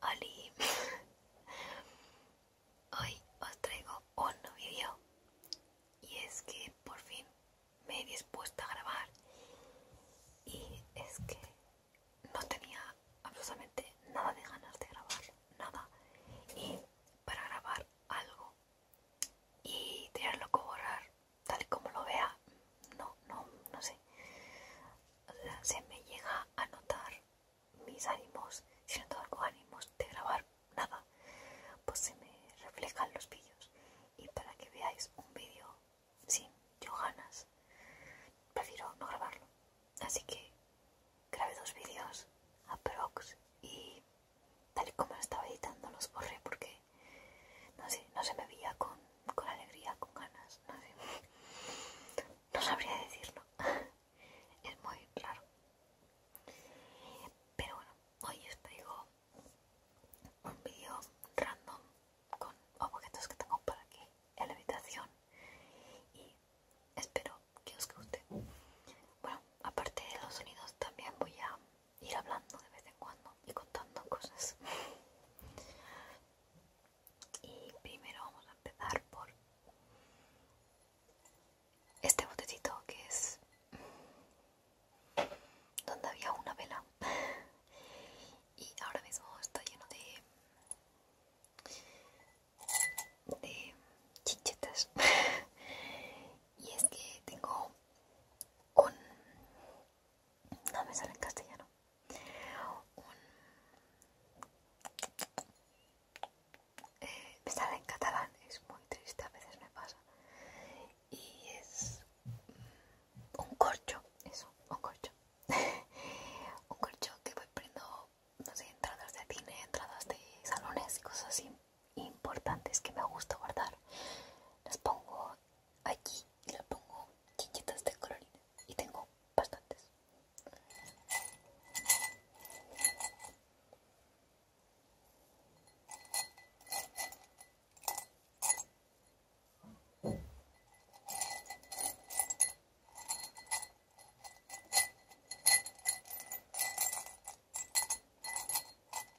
¡Hola! hoy os traigo un vídeo y es que por fin me he dispuesto a grabar y es que no tenía absolutamente nada de ganas de grabar, nada y para grabar algo y tenerlo que borrar tal y como lo vea, no, no, no sé. se me llega a notar mis ánimos, si no ánimos de grabar nada, pues se me reflejan los vídeos. Y para que veáis un vídeo sin yo ganas, prefiero no grabarlo. Así que grabé dos vídeos a Prox y tal y como estaba editando los borré porque no sé, no se me veía con, alegría, con ganas, no no sabría decirlo, es muy raro. Pero bueno, hoy os traigo un vídeo random con objetos que tengo para aquí en la habitación y espero que os guste. Bueno, aparte de los sonidos también voy a ir hablando de vez en cuando y contando cosas. Y primero vamos a empezar por este botecito que es donde había una vela y ahora mismo está lleno de de chinchetas y es que tengo un no me sale en castellano eh, me sale en catalán es muy triste a veces me pasa y es un corcho eso un corcho un corcho que voy prendo no sé entradas de cine entradas de salones y cosas importantes que me gusta guardar las pongo aquí le pongo chiquitas de color y tengo bastantes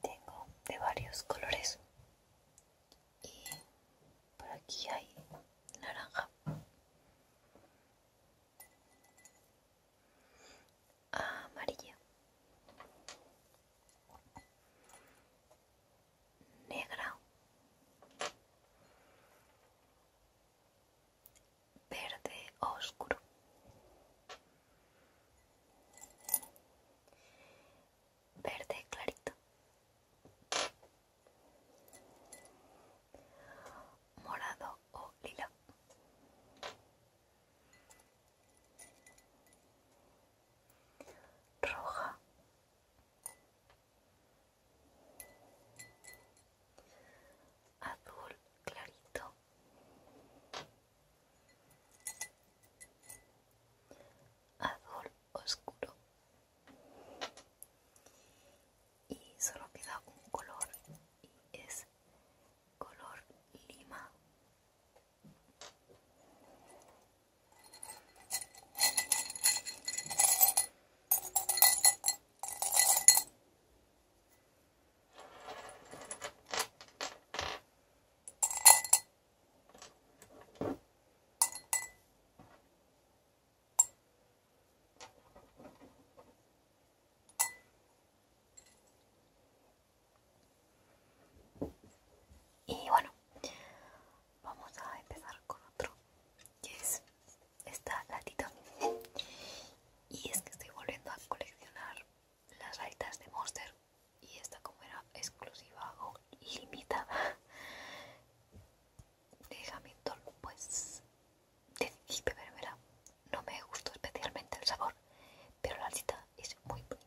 Tengo de varios colores y por aquí hay naranja amarillo, negro, verde oscuro, verde clarito morado o lila. Roja. Azul clarito. Azul oscuro y solo queda un color y es color lima y bueno, vamos a empezar con otro, que es esta latita. Y es que estoy volviendo a coleccionar las raitas de Monster. Y esta como era exclusiva o ilimitada de Hamilton, pues ver No me gustó especialmente el sabor, pero la cita es muy bonita.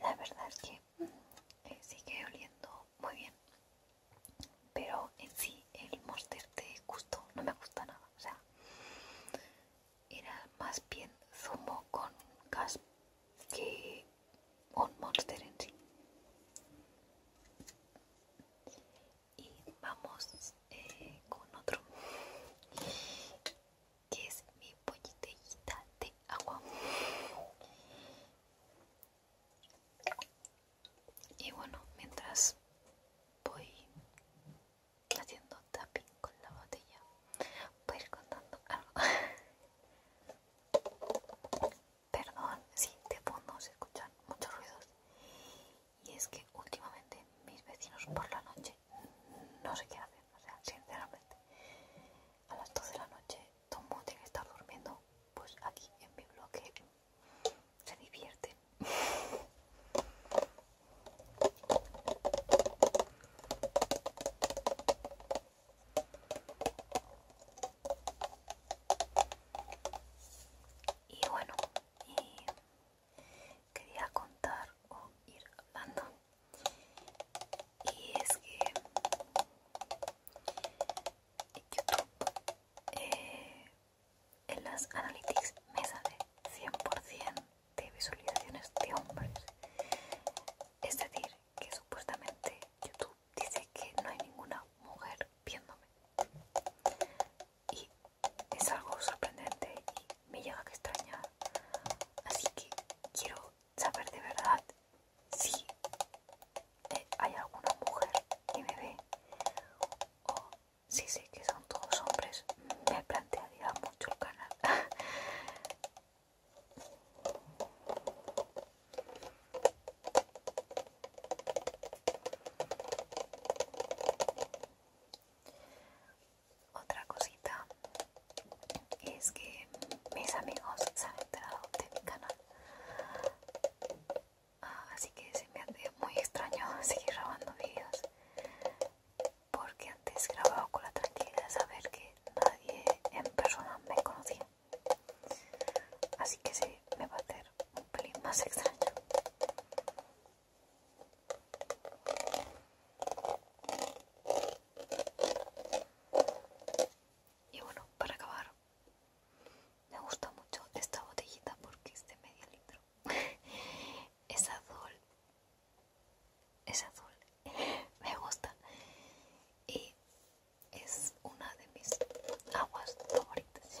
La verdad es que eh, sigue oliendo muy bien, pero en sí el monster te gustó, no me gusta nada. O sea, era más bien zumo con gas que un monster en sí y vamos eh, con otro que es mi botellita de agua y bueno mientras voy haciendo tapping con la botella voy a ir contando algo Perdón si sí, de fondo se escuchan muchos ruidos. Y es que últimamente mis vecinos por la noche no sé qué hacen. O sea, sinceramente, a las 12 de la noche todo el mundo tiene que estar durmiendo. Pues aquí en mi bloque se divierten. Y bueno, quería contar o ir hablando. Y es que YouTube eh, en las analytics me sale 100% de visualizaciones de hombres. Es decir, que supuestamente YouTube dice que no hay ninguna mujer viéndome y es algo sorprendente y me llega a extrañar así que quiero saber de verdad si eh, hay alguna mujer que me ve o si sé que son todos hombres me plantearía mucho el canal Otra cosita es que mis amigos se han enterado de mi canal, ah, así que se me hace muy extraño seguir grabando videos porque antes grababa con la tranquilidad de saber que nadie en persona me conocía así que sí, me va a hacer un pelín más extraño y bueno, para acabar me gusta mucho esta botellita porque es de medio litro es azul es azul me gusta y es una de mis aguas favoritas.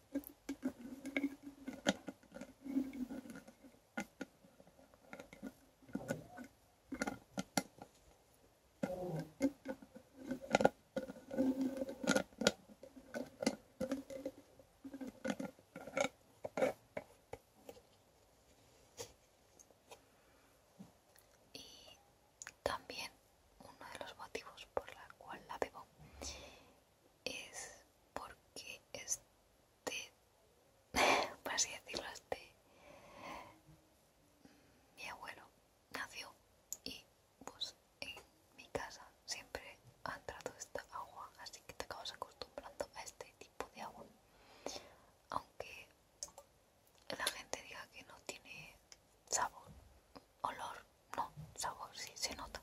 Y también uno de los motivos por la cual la bebo es porque este, por así decirlo, este, mi abuelo nació y pues en mi casa siempre ha entrado esta agua, así que te acabas acostumbrando a este tipo de agua. Aunque la gente diga que no tiene sabor, olor, no, sabor sí se nota.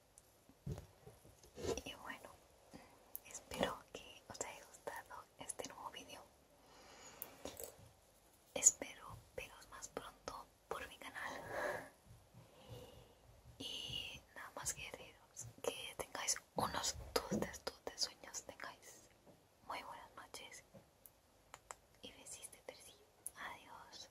Y bueno, espero que os haya gustado este nuevo vídeo. Espero veros más pronto por mi canal. Y nada más que que tengáis unos dulces, dulces sueños, tengáis muy buenas noches y besis de Adiós.